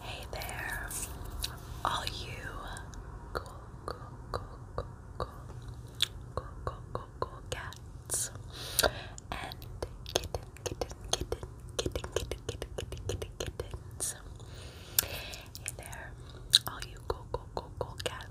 Hey there, all you cool, cool, cool, cool, cool, cool, cool, cool, cool cats and kitten, kitten, kitten, kitten, kitten, kitten, kitten, kitten, kittens. Hey there, all you cool, cool, cool, cool cats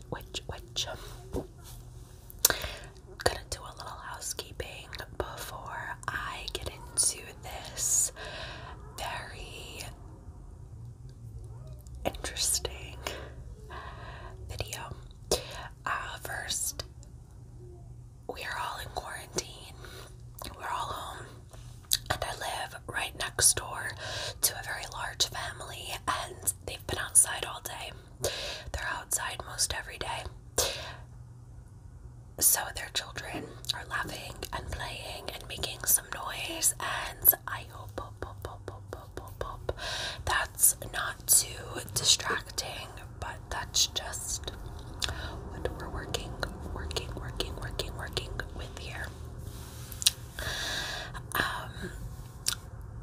which, which, I'm gonna do a little housekeeping before I get into this very interesting video. Uh, first, we are all in quarantine, we're all home, and I live right next door to a very large family, and they've been outside all day. They're outside most every day. So their children are laughing and playing and making some noise, and I hope that's not too distracting, but that's just what we're working, working, working, working, working with here. Um,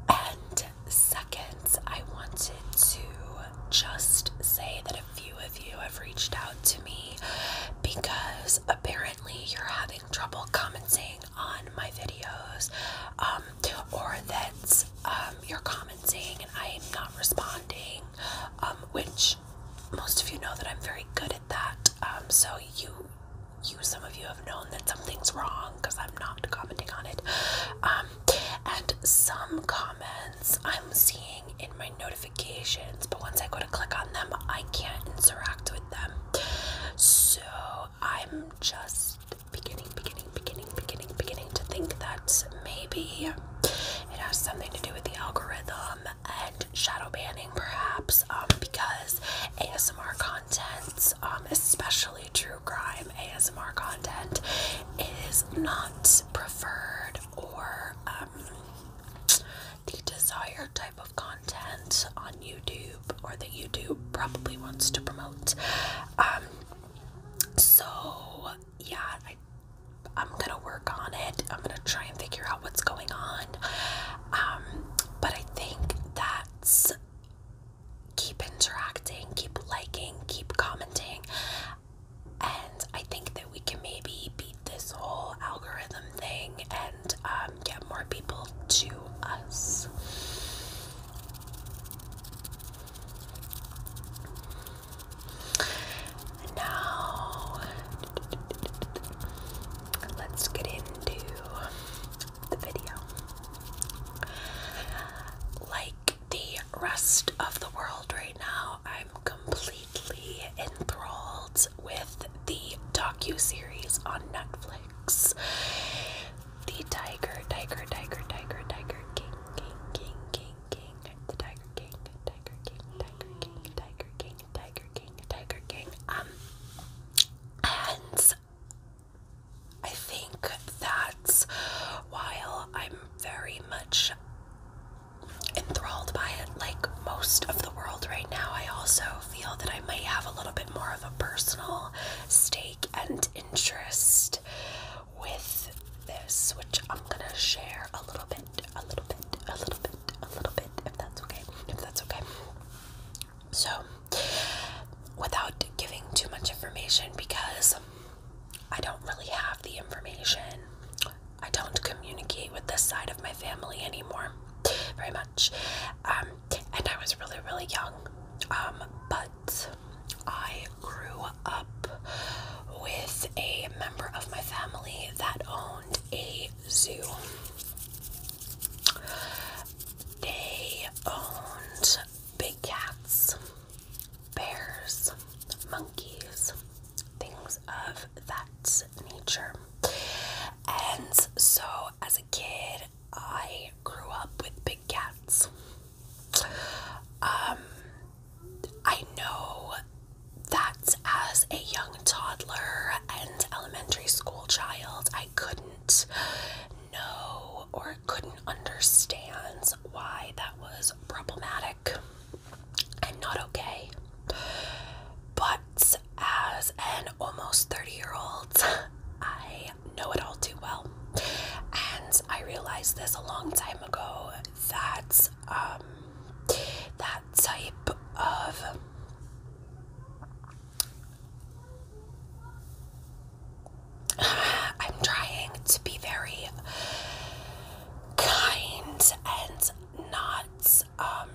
and second, I wanted to just say that a few of you have reached out to me because apparently you're having trouble commenting on my videos, um, or that um, you're commenting and I'm not responding, um, which most of you know that I'm very good at that. so you you some of you have known that something's wrong because I'm not commenting on it. Um, and some comments I'm seeing in my notifications, but once I go to click on them, I can't interact with them. So I'm just beginning, beginning, beginning, beginning, beginning to think that maybe it has something to do with the algorithm and shadow banning perhaps um, because ASMR content, um, especially true crime ASMR content, is not preferred or um, the desired type of content on YouTube or that YouTube probably wants to promote. so, yeah, I, am gonna work on it. I'm gonna try and figure out what's going on. but I think that Keep interacting, keep liking, keep commenting. And I think that we can maybe beat this whole algorithm thing and um, get more people to us. Now, let's get into the video. Like the rest of the world right now, I'm completely enthralled with the docu-series on Netflix. The Tiger, Tiger, Tiger, Tiger, Tiger King, King, King, King, King, the Tiger King, Tiger King, Tiger King, Tiger King, Tiger King, Tiger King. Um and I think that's while I'm very much enthralled by it, like most of the world right now, I also feel that I might have a little bit more of a personal stake and interest with this, which I'm gonna share a little bit, a little bit, a little bit, a little bit, if that's okay, if that's okay. So, without giving too much information because I don't really have the information. I don't communicate with this side of my family anymore very much. Um, and I was really, really young. Um, but I grew up with a member of my family that owned a zoo. They owned big cats, bears, monkeys, things of that nature. And so as a kid, I grew up with big cats. Um, I know that as a young toddler and elementary school child, I could not know or couldn't understand why that was problematic and not okay. But as an almost 30 year old, I know it all too well. And I realized this a long time ago that um, that type of I'm trying to be very kind and not um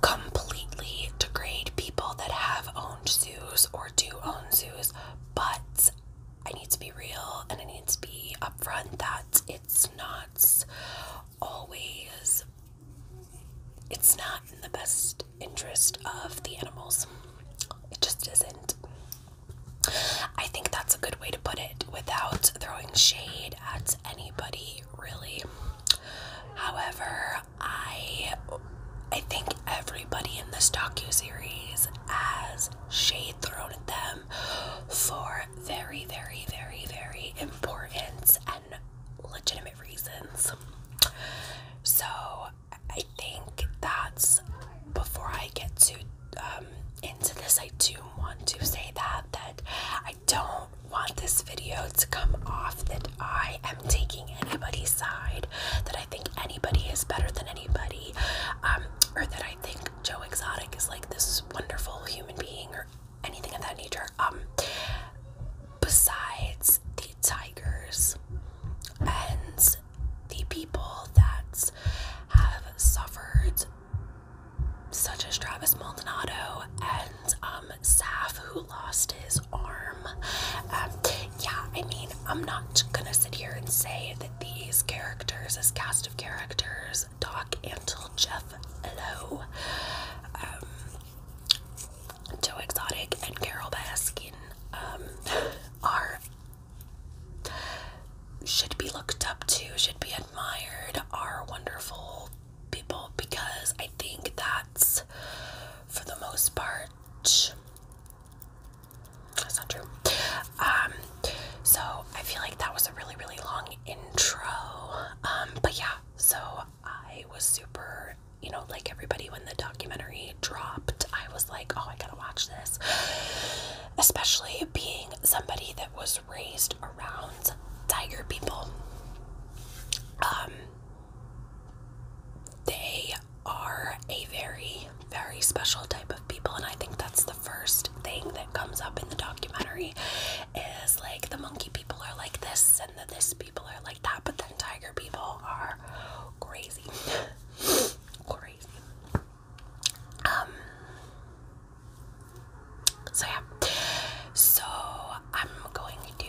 completely degrade people that have owned zoos or do own zoos, but I need to be real and I need to be upfront that it's not always it's not in the best interest of the animals. It just isn't. I think that's a good way to put it without throwing shade at anybody, really. However, I I think everybody in this docu series has shade thrown at them for very, very, very, very importance and legitimate reasons. So I think that's before I get to um, into this, I do want to say that that I don't want this video to come off that I am taking anybody's side, that I think anybody is better than anybody, um, or that I think Joe Exotic is like this wonderful human being anything of that nature. Um, besides the tigers and the people that have suffered, such as Travis Maldonado and um, Saf, who lost his arm. Um, yeah, I mean, I'm not gonna sit here and say that these characters, this cast of characters, Doc, Antle, Jeff, Hello, um, Joe Exotic, and Carol Baskin um, are should be looked up to, should be admired, are wonderful people because I think that's for the most part. That's not true. Um, so I feel like that was a really, really long intro. Um, but yeah, so I was super, you know, like everybody when the documentary dropped, I was like, oh, I gotta watch this. Especially being somebody that was raised around tiger people. Um, they are a very, very special type of people, and I think that's the first thing that comes up in the documentary is like the monkey people are like this and the this people are like that, but then tiger people are crazy. crazy. Um so yeah. So I'm going to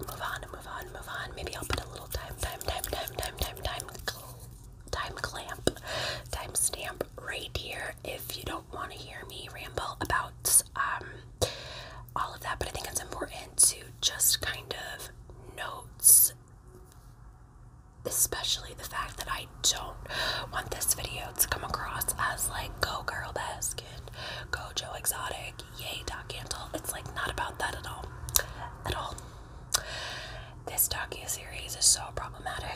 move on, move on, move on. Maybe I'll put a little time, time, time, time, time, time, time, time clamp, time stamp right here if you don't want to hear me ramble about um, all of that, but I think it's important to just kind of notes, especially the fact that I don't want this video to come across as like, go Girl Baskin, go Joe Exotic, yay Doc Antle. It's like not about that at all. At all. This docu series is so problematic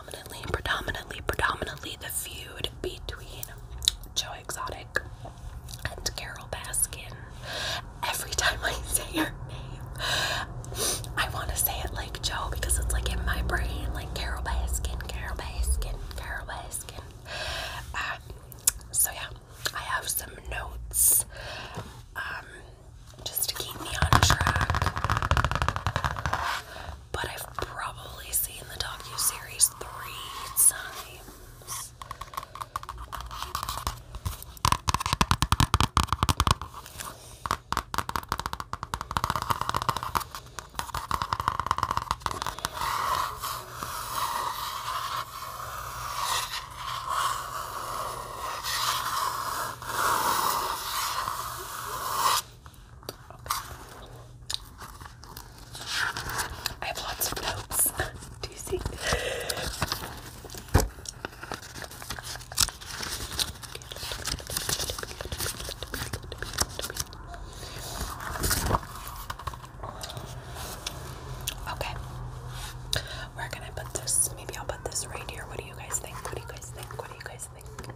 predominantly, predominantly, predominantly the feud between Joe Exotic and Carol Baskin. Every time I say her name, I want to say it like Joe because it's like in my brain, like Carol Baskin, Carol Baskin, Carol Baskin. Um, so yeah, I have some notes um, just to keep me on track but I've probably seen the docu series three times. I have lots of notes. Do you see? Okay. Where can I put this? Maybe I'll put this right here. What do you guys think? What do you guys think? What do you guys think?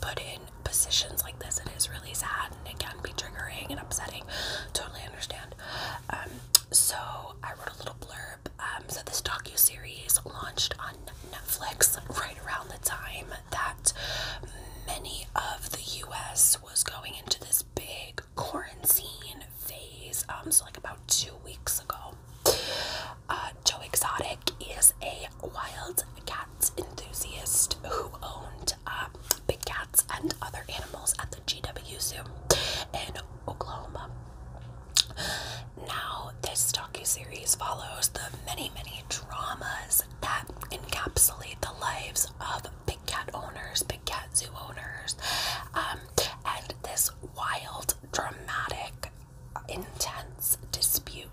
put in positions like this. It is really sad and it can be triggering and upsetting. Totally understand. Um, so I wrote a little blurb. Um, so this docu series launched on Netflix right around the time that many of the U.S. was going into this big quarantine phase. Um, so like about two weeks ago. Uh, Joe Exotic is a wild cat enthusiast who owned uh, big cats and other animals at the GW Zoo in Oklahoma. Now, this series follows the many, many dramas that encapsulate the lives of big cat owners, big cat zoo owners, um, and this wild, dramatic, intense dispute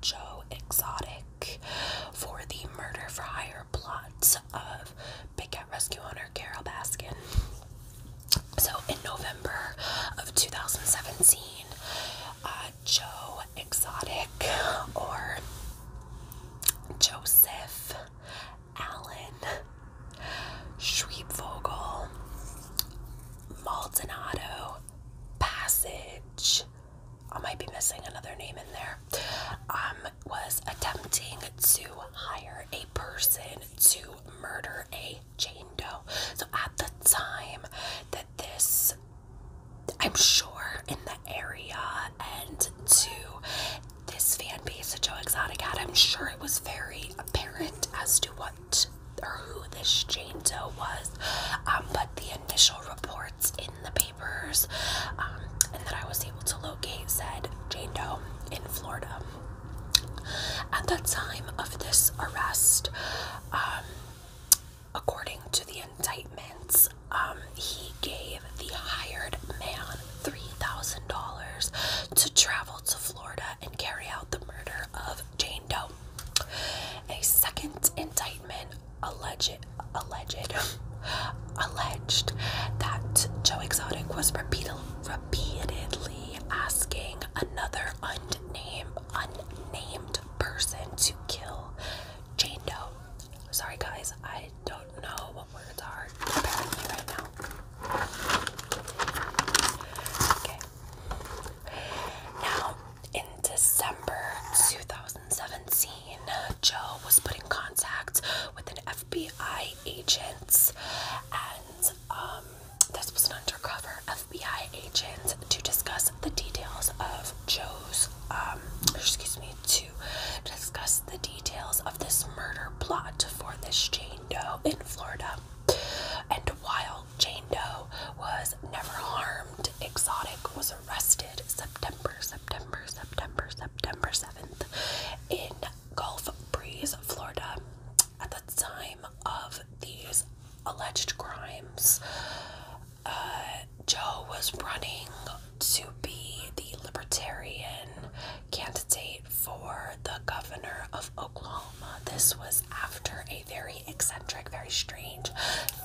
Joe Exotic for the murder for hire plots of Big Cat Rescue owner Carol Baskin. So, in November of 2017, uh, Joe Exotic or Joseph Allen Schriebvogel Maldonado Passage, I might be missing another name in there, um, was attempting to hire a person to murder a Jane Doe. So at the time that this, I'm sure in the area and to this fan base of Joe Exotic had, I'm sure it was very apparent as to what or who this Jane Doe was, um, but the initial reports in the papers um, and that I was able to locate said Jane Doe in Florida. At the time of this arrest, um, according to the indictments, he gave the hired man $3,000 to travel to Florida and carry out the murder of Jane Doe. A second indictment alleged alleged alleged that Joe Exotic was repeated, repeatedly asking another unnamed unnamed person to kill Jane Doe. Sorry guys, I don't know what words are preparing me right now. Okay. Now, in December 2017, Joe was put in contact with an FBI agent, and um, this was an undercover FBI agent to discuss the details of Joe's, um, excuse me, to discuss the details of this murder plot for this Jane Doe in Florida. And while Jane Doe was never harmed. Exotic was arrested September, September, September, September 7th in Gulf Breeze, Florida. At the time of these alleged crimes, uh, Joe was running to be the libertarian candidate for the governor of Oklahoma. This was after a very eccentric, very strange,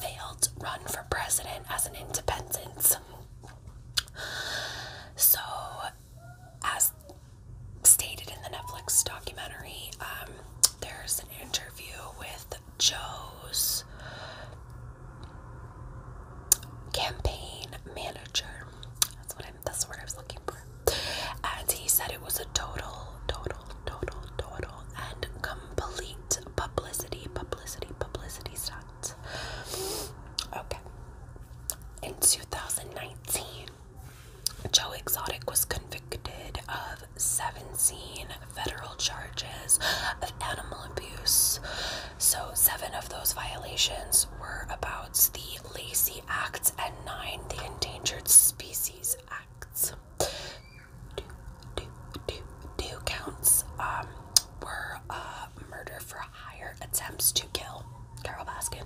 failed run for president as an independent. So, as stated in the Netflix documentary, um, there's an interview with Joe's campaign manager. That's what I'm. That's the I was looking for. And he said it was a total, total total, total, and complete publicity, publicity, publicity stunts. Okay. In 2019, Joe Exotic was convicted of 17 federal charges of animal abuse. So, seven of those violations were about the Lacey Act and nine the Endangered Species Acts two, two, two, two counts um, were uh, murder for hire attempts to kill Carol Baskin,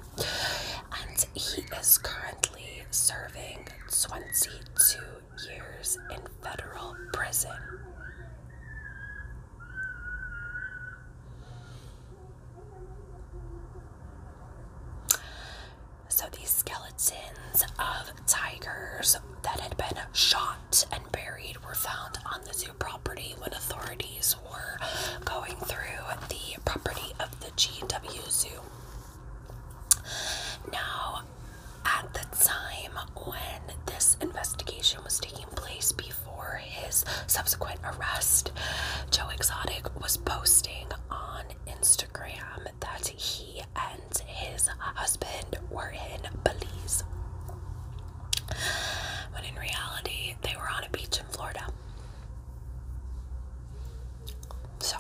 and he is currently serving 22 years in federal prison. So, these skeletons of tigers that had been shot and buried were found on the zoo property when authorities were going through the property of the GW Zoo. Now, at the time when this investigation was taking place before his subsequent arrest, Joe Exotic was posting on Instagram that he and his husband were in Belize, when in reality, they were on a beach in Florida. So,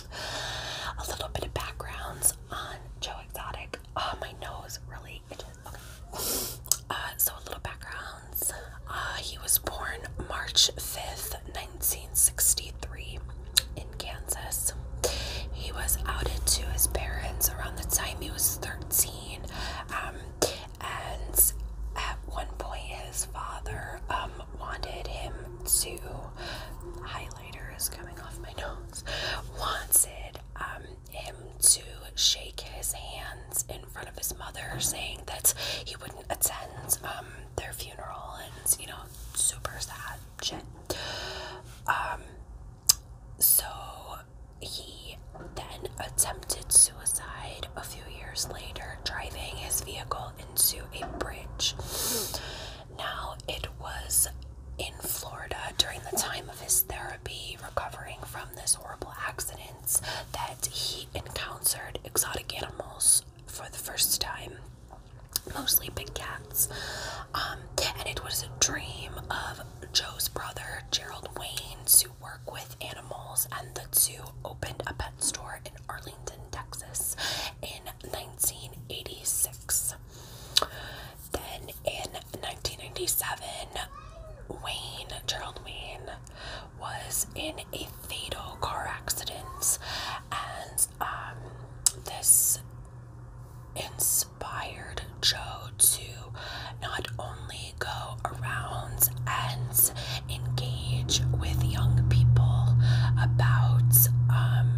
a little bit of backgrounds on Joe Exotic. Oh, my nose really itches. Uh, so, a little backgrounds. Uh, he was born March 5th, 1963 in Kansas. He was outed to his parents around the time he was 13. Um, and at one point, his father um, wanted him to. Highlighter is coming off my nose. Wanted um, him to shake his hands in front of his mother, saying that he wouldn't attend their funeral and you know, super sad shit. Um, so he then attempted suicide a few years later, driving his vehicle into a bridge. Now, it was in Florida during the time of his therapy, recovering from this horrible accident, that he encountered exotic animals for the first time mostly big cats. Um, and it was a dream of Joe's brother, Gerald Wayne, to work with animals, and the zoo opened a pet store in Arlington, Texas in 1986. Then in 1997, Wayne, Gerald Wayne, was in a fatal car accident and um, this inspired Joe to not only go around and engage with young people about um,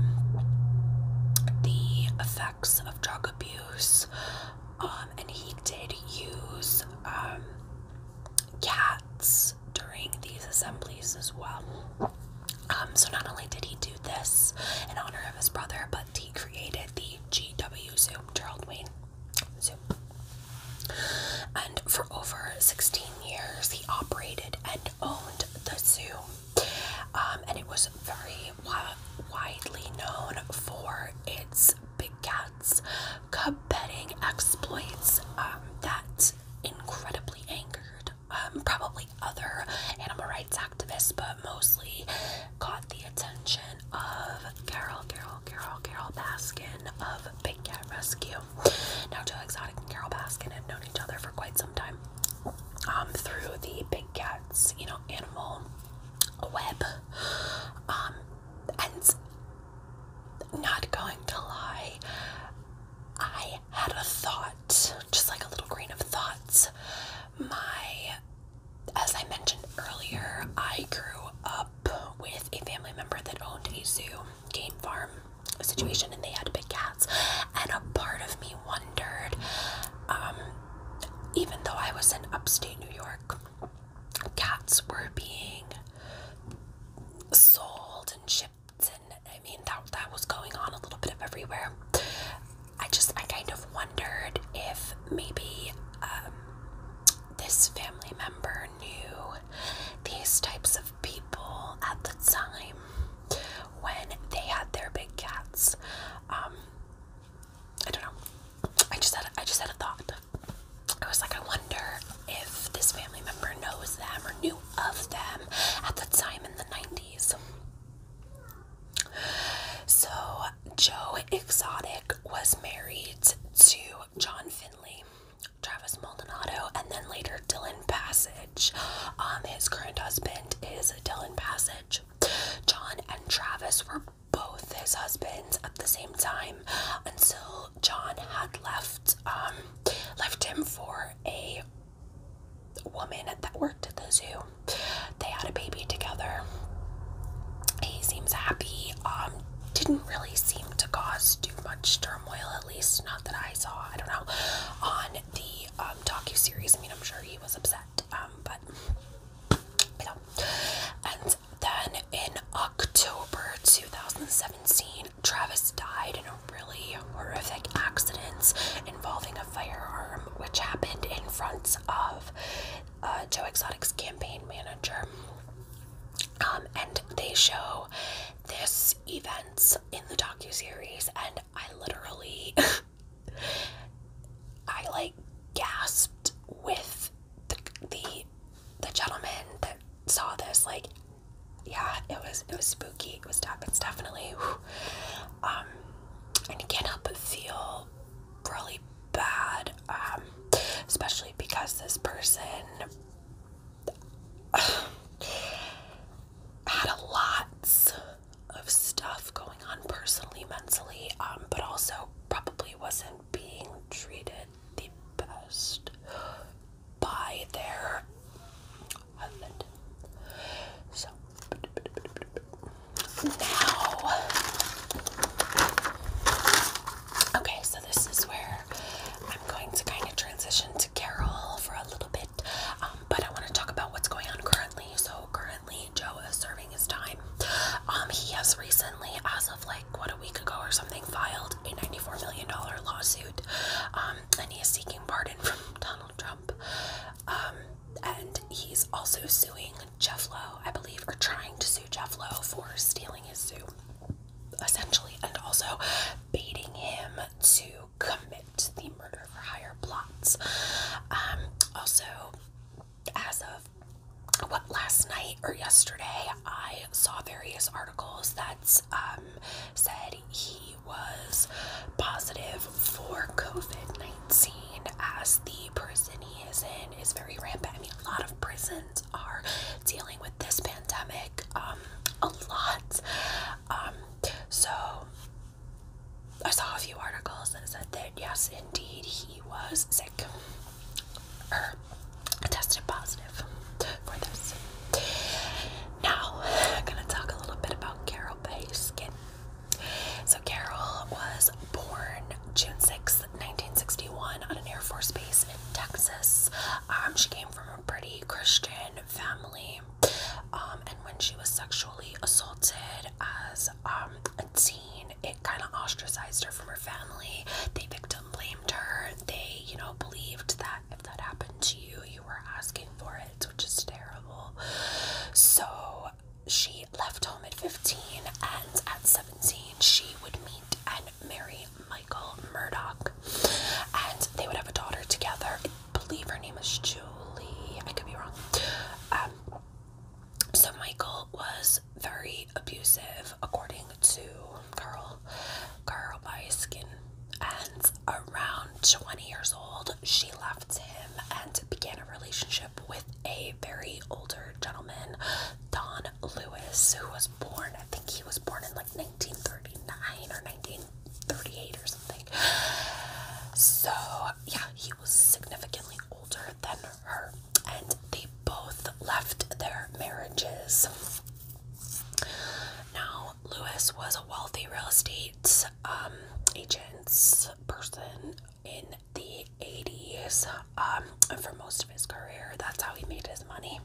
the effects of drug abuse, um, and he did use cats during these assemblies as well. Um, so not only did he do this in honor of his brother, but he created the GW Zoo, Gerald Wayne Zoom. And for over 16 years, he operated and owned the zoo. Um, and it was very widely known for its big cats, cub petting exploits um, that incredibly angered. Um, probably other animal rights activists, but mostly caught the attention of Carol, Carol, Carol, Carol Baskin of Big Cat Rescue. Now, Joe Exotic and Carol Baskin had known each other for quite some time um, through the Big Cat's, you know, animal web. Um, and not going to lie, I I had a thought, just like a little grain of thoughts. My, as I mentioned earlier, I grew up with a family member that owned a zoo, game farm a situation, and they had big cats. And a part of me wondered, um, even though I was in upstate New York, cats were being sold and shipped and I mean that that was going on a little bit of everywhere. I just I kind of wondered if maybe um, this family member knew these types of people at the time when they had their big cats. Um, I don't know. I just had a, I just had a thought. I was like, I wonder if this family member knows them or knew of them at the time in the 90s. So, Joe Exotic was married to John Finley, Travis Maldonado, and then later Dylan Passage. Um, his current husband is Dylan Passage. John and Travis were both his husbands at the same time until John had left um, left him for a woman that worked at the zoo. They had a baby together. He seems happy. Um, didn't really seem to cause too much turmoil, at least not that I saw. I don't know. On the um, docu series, I mean, I'm sure he was upset, um, but you know. And then in October 2017, Travis died in a really horrific accident involving a firearm, which happened in front of uh, Joe Exotic's campaign manager. Um, and they show this event in the docu series, and I literally, I like gasped with the the gentleman that saw this. Like, yeah, it was it was spooky. It was tough. It's definitely, um, and you can't help but feel really bad, um, especially because this person had a lots of stuff going on personally, mentally, um, but also probably wasn't being treated the best by their husband. So now, okay, so this is where I'm going to kind of transition to Carol for a little bit, um, but I want to talk about what's going on currently. So currently, Joe is serving his time. Um, he has recently, as of like what a week ago or something, filed a $94 million lawsuit, um, and he is seeking pardon from Donald Trump. Um, and he's also suing Jeff Lowe, I believe, or trying to sue Jeff Lowe for stealing his zoo, essentially, and also baiting him to commit the murder for hire plots. Um, also, as of what last night or yesterday, I saw various articles that um, said he was positive for COVID 19 as the prison he is in is very rampant. I mean, a lot of prisons are dealing with this pandemic, um, a lot. Um, so I saw a few articles that said that yes, indeed, he was sick tested positive for this. Now, I'm going to talk a little bit about Carol Baskin. So, Carol was born June 6, 1961, on an Air Force base in Texas. Um, she came from a pretty Christian family, um, and when she was sexually assaulted as um, a teen, it kind of ostracized her from her family. They victimized blamed her. They, you know, believed that if that happened to you, you were asking for it, which is terrible. So she left home at 15, and at 17, she would meet and marry Michael Murdoch, and they would have a daughter together. believe her name is Julie. I could be wrong. Um, so Michael was very abusive, according to curl, curl, curl And around 20 years old, she left him and began a relationship with a very older gentleman, Don Lewis, who was born, I think he was born in like 1939 or 1938 or something. So, yeah, he was significantly older than her, and they both left their marriages now, Lewis was a wealthy real estate um, agents person in the 80s. Um, for most of his career, that's how he made his money.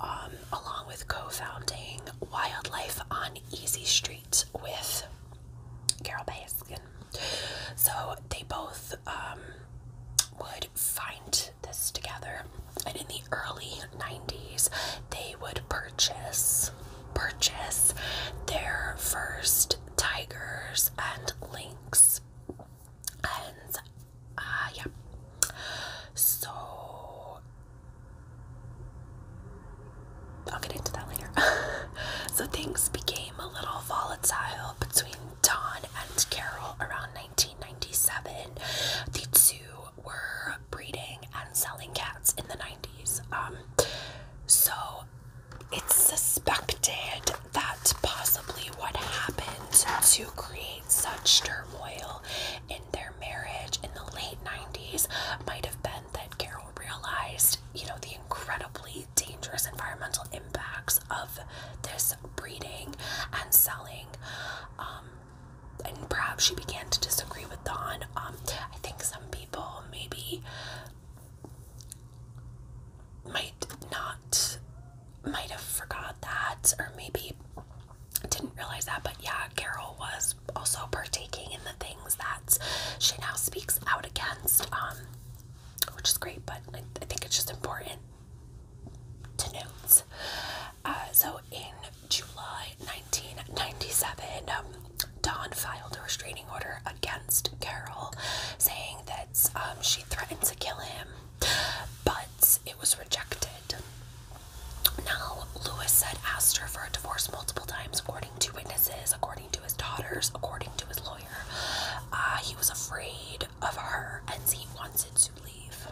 Um, along with co-founding Wildlife on Easy Street with Carol Baskin. So they both would find this together. And in the early 90s, they would purchase purchase their first tigers and lynx. And uh yeah. So I'll get into that later. so things became a little volatile between Don and Carol around 1997. The two were breeding and selling cats in the 90s. Um, so it's suspected that possibly what happened to create such turmoil in their marriage in the late 90s might have been that Carol realized, you know, the incredibly dangerous environmental impacts of this breeding and selling. Um, and perhaps she began to disagree with Dawn. Um, I think some people maybe might not might have forgot that or maybe didn't realize that but yeah Carol was also partaking in the things that she now speaks out against um, which is great but I, I think it's just important to note uh, so in July 1997, um, Dawn filed a restraining order against Carol, saying that um, she threatened to kill him, but it was rejected. Now, Lewis had asked her for a divorce multiple times, according to witnesses, according to his daughters, according to his lawyer. Uh, he was afraid of her and he wanted to leave.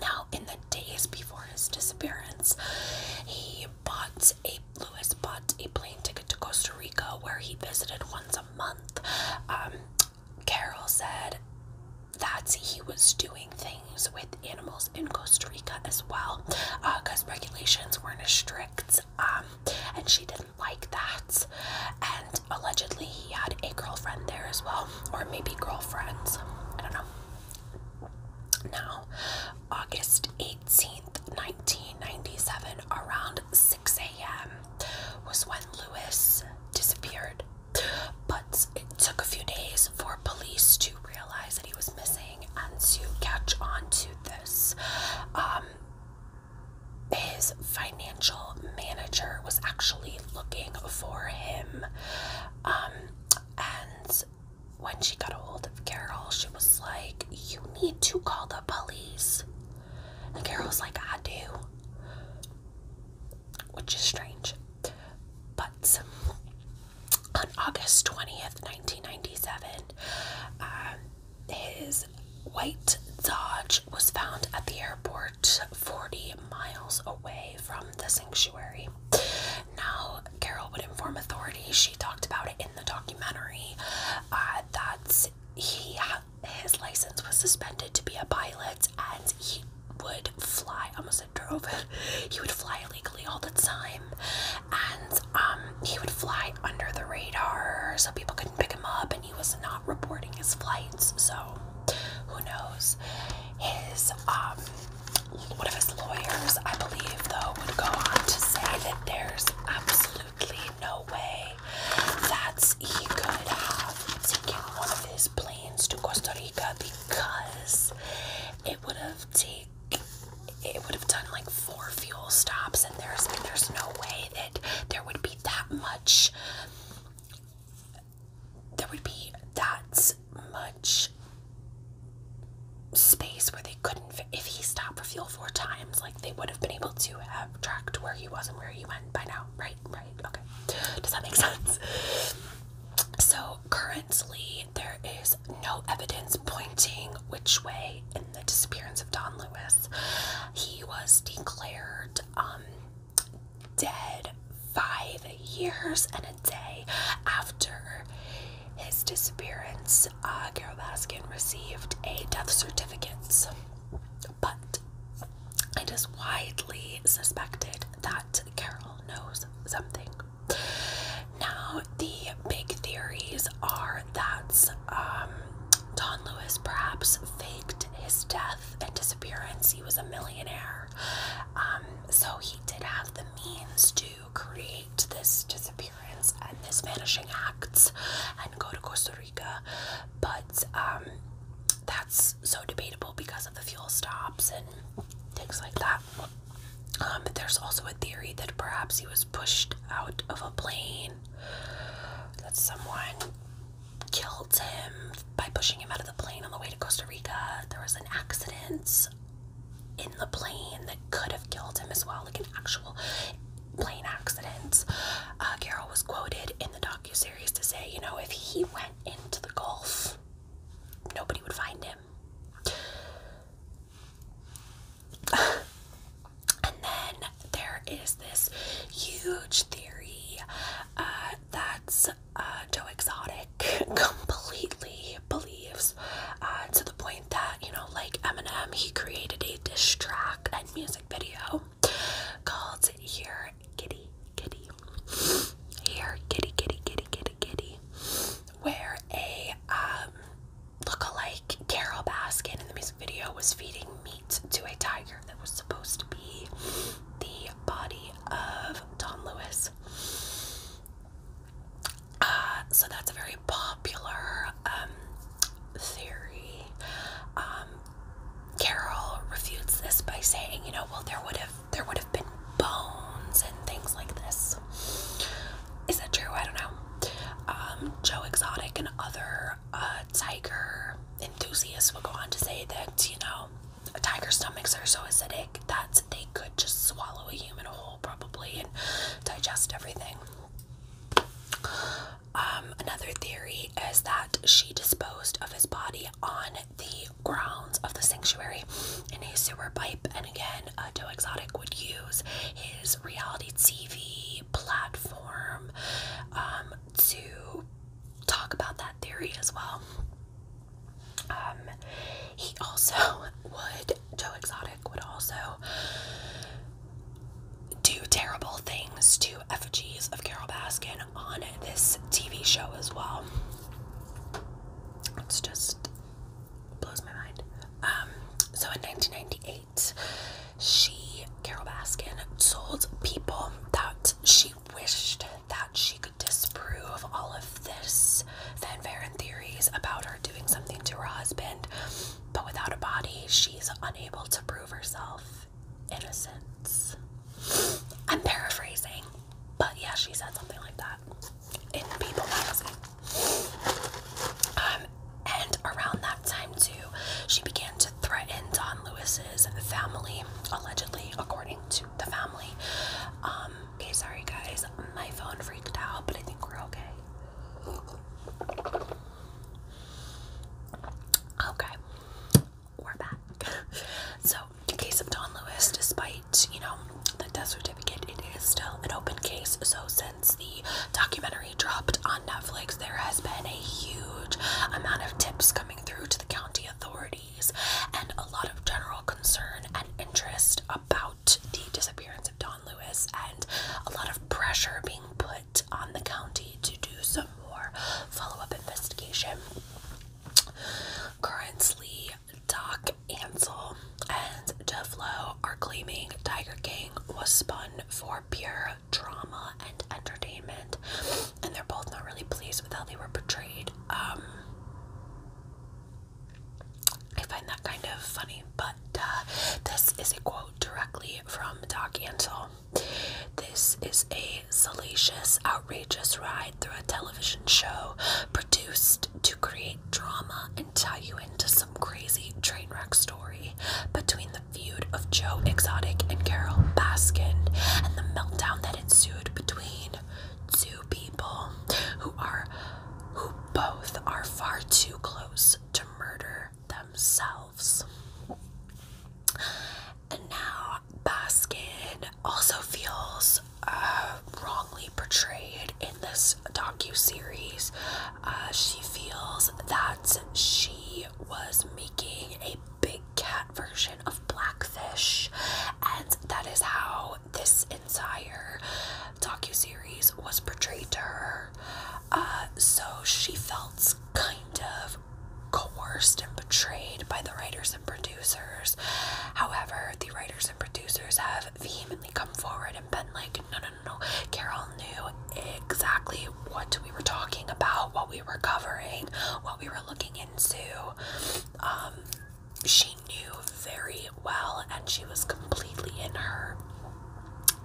Now, in the days before his disappearance, he bought a Lewis bought a plane ticket to Costa Rica, where he visited once a month. Um, Carol said that he was doing things with animals in Costa Rica as well, because uh, regulations weren't as strict, um, and she didn't like that. And allegedly he had a girlfriend there as well, or maybe girlfriends. I don't know. Now, August 18th, 1997, around 6 a.m., was when Lewis disappeared. But it took a few days for police to realize that he was missing and to catch on to this. Um, his financial manager was actually looking for him. Um, and when she got a hold of Carol, she was like, You need to call the police. And Carol was like, I do. Which is strange. But on August 20th, 1997, uh, his white Dodge was found at the airport 40 miles away from the sanctuary. Now, Carol would inform authorities, she talked about it in the documentary, uh, that he, his license was suspended to be a pilot and he would fly almost a drove he would fly illegally all the time and um, he would fly under the radar so people couldn't pick him up and he was not reporting his flights, so who knows? His um, one of his lawyers, I believe, though, would go on to say that there's absolutely no way that he could have taken one of his planes to Costa Rica because it would have taken it would have done like four fuel stops and there's there's no way that there would be that much there would be that much space where they couldn't If he stopped for fuel four times, like they would have been able to have tracked where he was and where he went by now. Right, right, okay. Does that make sense? So currently, there is no evidence pointing which way in the disappearance of Don Lewis. He was declared um, dead five years and a day after his disappearance. Uh, Carol Baskin received a death certificate, but it is widely suspected that Carol knows something. Now, the big theories are that um, Don Lewis perhaps faked his death and disappearance, he was a millionaire. Um, so he did have the means to create this disappearance and this vanishing acts and go to Costa Rica. But um, that's so debatable because of the fuel stops and things like that. Um, but there's also a theory that perhaps he was pushed out of a plane. That someone killed him by pushing him out of the plane on the way to Costa Rica. There was an accident in the plane that could have killed him as well, like an actual plane accident. Uh, Carol was quoted in the docuseries to say, you know, if he went into the Gulf, nobody would find him. and then there is this huge theory uh, that's is uh, Joe Exotic completely believes uh, to the point that you know, like Eminem, he created a diss track and music video called "Here Kitty Kitty." Here Kitty Kitty Kitty Kitty Kitty, where a um, look-alike Carol Baskin in the music video was feeding meat to a tiger that was supposed to be the body of Tom Lewis. Uh, so that's a very popular um, theory. Um, refutes this by saying, you know, well, there would have there would have been bones and things like this. Is that true? I don't know. Um, Joe Exotic and other uh, tiger enthusiasts will go on to say that, you know, tiger's stomachs are so acidic that they could just swallow a human whole probably and digest everything. Um, another theory is that she disposed of his body on the grounds of the sanctuary in a sewer pipe, and again, a uh, Joe Exotic would use his reality TV platform um, to talk about that theory as well. Um, he also would, Joe Exotic would also do terrible things to effigies of Carol Baskin on this TV show as well. It's just blows my mind. Um, so in 1998, she, Carol Baskin, told people that she wished that she could disprove all of this fanfare and theories about her doing something to her husband, but without a body, she's unable to prove herself innocent. I'm paraphrasing, but yeah, she said something like that in People magazine. Um, and around that time, too, she began to threatened Don Lewis's family, allegedly, according to the family. Um, okay, sorry guys, my phone freaked out, but I think we're okay. Okay, we're back. so, the case of Don Lewis, despite, you know, the death certificate, it is still an open case. So, since the documentary dropped on Netflix, there has been a huge amount of tips coming through to the county authorities and a lot of general concern and interest about the disappearance of Don Lewis and a lot of pressure being put on the county to do some more follow up investigation. Currently, Doc Ansel and DeFlo are claiming Tiger King was spun for pure drama and entertainment, and they're both not really pleased with how they were portrayed. Um, I find that kind of funny, but uh, this is a quote directly from Doc Antle. This is a salacious, outrageous ride through a television show produced to create drama and tie you into some crazy train wreck story between the of Joe Exotic and Carol Baskin and the meltdown that ensued between two people who are who both are far too close to murder themselves. And now Baskin also feels uh, wrongly portrayed in this docu-series. Uh, she feels that she was making a big cat version of Blackfish, and that is how this entire docu-series was portrayed to her. Uh, so she felt kind of coerced and betrayed by the writers and producers. However, the writers and producers have vehemently come forward and been like, no, no, no, no, Carol knew exactly what we were talking about, what we were covering, what we were looking walking into, um, she knew very well, and she was completely in her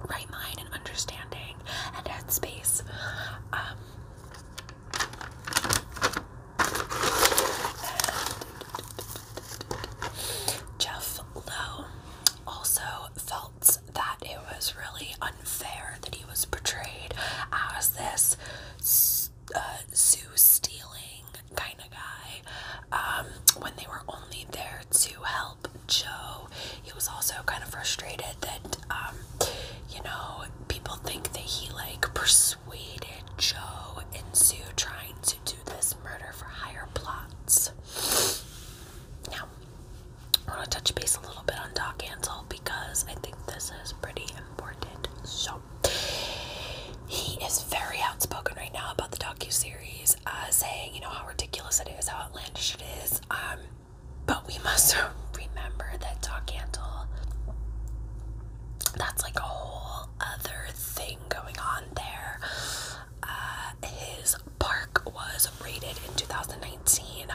right mind and understanding and headspace. Um, Jeff Lowe also felt that it was really unfair that he was portrayed as this uh, zoo stealing kind of guy um, when they were only there to help Joe. He was also kind of frustrated that, um, you know, people think that he like persuaded Joe and into trying to do this murder for higher plots. Now, I want to touch base a little bit on Doc Ansel because I think this is pretty important. So, he is very outspoken right now about the docu-series, uh, saying, you know, how ridiculous it is, how outlandish it is. Um, but we must remember that Doc Antle, that's like a whole other thing going on there. Uh, his park was raided in 2019,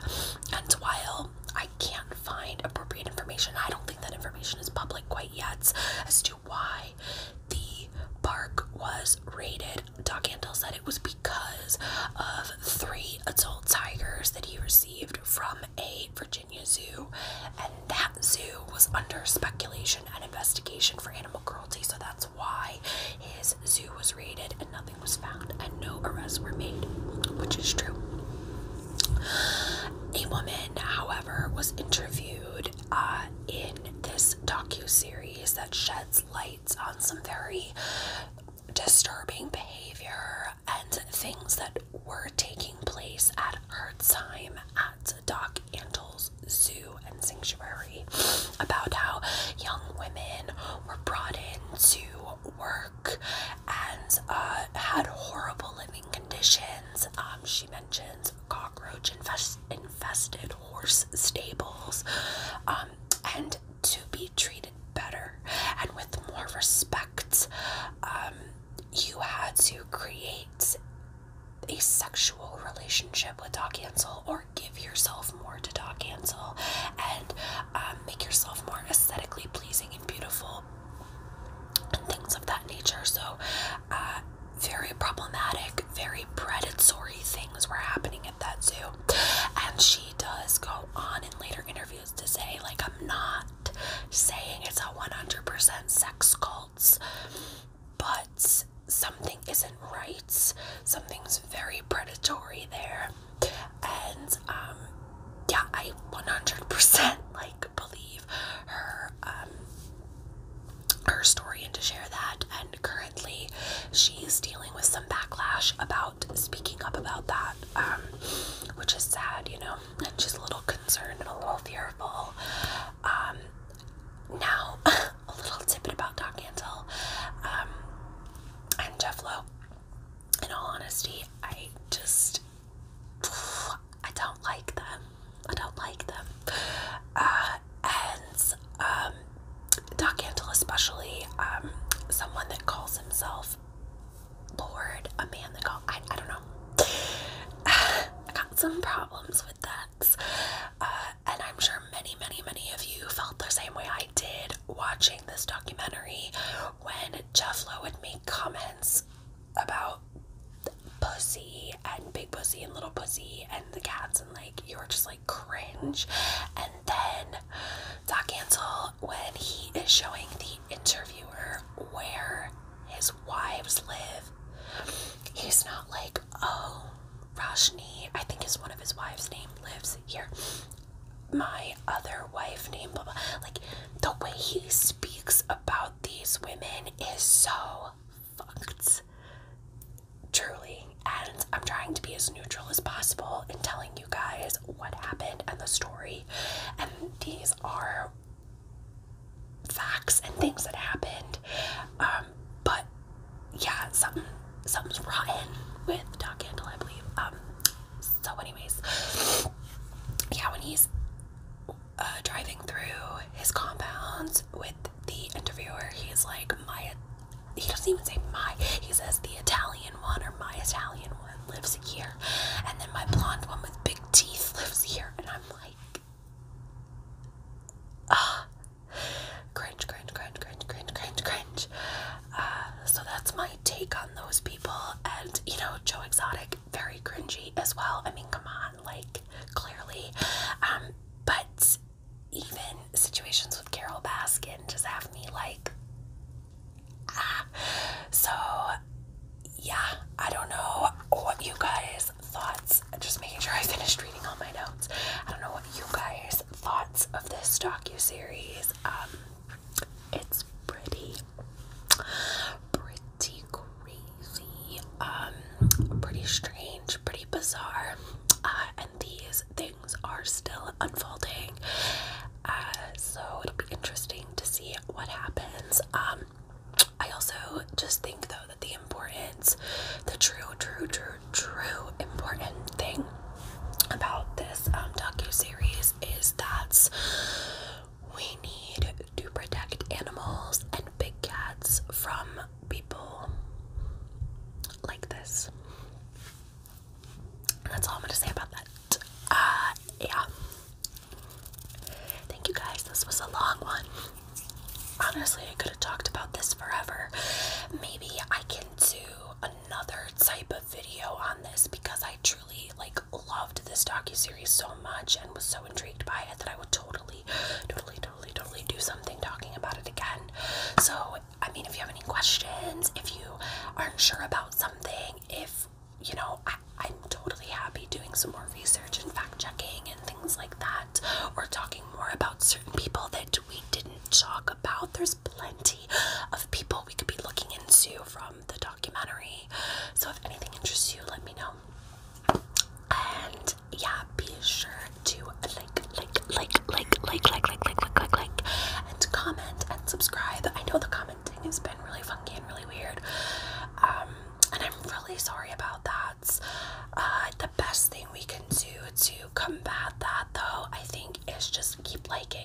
and while I can't find appropriate information. I don't think that information is public quite yet as to why the park was raided. Doc Antle said it was because of three adult tigers that he received from a Virginia zoo, and that zoo was under speculation and investigation for animal cruelty, so that's why his zoo was raided and nothing was found and no arrests were made, which is true. A woman, however, was interviewed uh, in this docu-series that sheds light on some very disturbing behavior and things that were taking place at her time at Doc Antle's zoo and sanctuary about how young women were brought in to work and uh, had horrible living conditions. Um, she mentions cockroach infested horse stables, um, and to be treated better and with more respect, um, you had to create a sexual relationship with Doc Ansel or give yourself more to Doc Ansel and um, make yourself more aesthetically pleasing and beautiful, and things of that nature. So, uh, very problematic, very predatory things were happening at that zoo. And she does go on in later interviews to say, like, I'm not saying it's a 100% sex cults, but something isn't right. Something's very predatory there and um, yeah I 100% like believe her um, her story and to share that and currently she's dealing with some backlash about speaking up about that um, which is sad you know and she's a little concerned and a little fearful now a little tidbit about Doc Antle and Jeff Lowe in all honesty, I just I don't like them. I don't like them. Uh, and um, Doc Antle, especially, um, someone that calls himself Lord, a man that calls, I, I don't know. I got some problems with that. Uh, and I'm sure many, many, many of you felt the same way I did watching this documentary when Jufflo would make comments about pussy and big pussy and little pussy and the cats and like you were just like cringe and then Doc Ansel when he is showing the interviewer where his wives live he's not like oh Rashni, I think is one of his wives name lives here my other wife named blah blah. Like the way he speaks about these women is so fucked. Truly. And I'm trying to be as neutral as possible in telling you guys what happened and the story. And these are facts and things that happened. Um, but yeah, something something's rotten with Doc Handle, I believe. Um, so, anyways, yeah, when he's uh, driving through his compounds with the interviewer, he's like, my, he doesn't even say my, he says the Italian one or my Italian one lives here, and then my blonde one with big teeth lives here, and I'm like, ah, cringe, cringe, cringe, cringe, cringe, cringe, cringe. Uh, so that's my take on those people. And, you know, Joe Exotic, very cringy as well. I mean, come on, like, clearly. Um, but even situations with Carol Baskin just have me like, ah. So, yeah, I don't know what you guys' thoughts, just making sure I finished reading all my notes. I don't know what you guys' thoughts of this docu-series. Um, it's pretty, pretty crazy, um, pretty strange, pretty bizarre, uh, and these things are still unfolding. Uh, so it'll be interesting to see what happens. Um, I also just think though that the importance, the true, true, true, true important thing about this um, docu series is that we need to protect animals and big cats from people like this. that's all I'm gonna say about that. Uh, yeah. Thank you guys. This was a long one. Honestly, I could have talked about this forever. Maybe I can do another type of video on this because I truly like loved this docu-series so much and was so intrigued by it that I would totally, totally, totally, totally do something talking about it again. So, I mean, if you have any questions, if you aren't sure about something, if you know, I, am totally happy doing some more research and fact checking and things like that, or talking more about certain people that we didn't talk about. There's there's plenty of people we could be looking into from the documentary. So if anything interests you, let me know. And yeah, be sure to like, like, like, like, like, like, like, like, like, like, like, and comment and subscribe. I know the commenting has been really funky and really weird. Um, and I'm really sorry about that. Uh, the best thing we can do to combat that, though, I think, is just keep liking,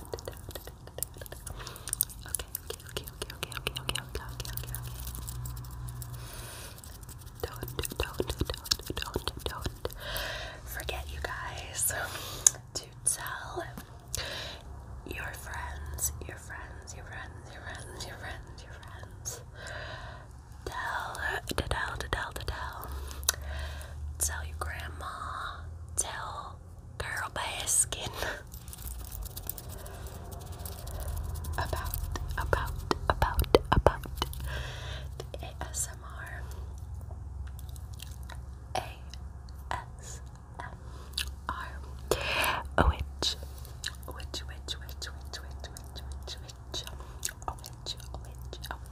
Okay, okay, okay, okay, okay, okay, okay, okay, okay, okay. Don't, don't, don't, don't, don't forget, you guys, to tell your friends, your friends, your friends, your friends, your friends, your friends. Tell, to tell, to tell, to tell. Tell your grandma tell Carol Baskin about about about about the ASMR ASMR oh,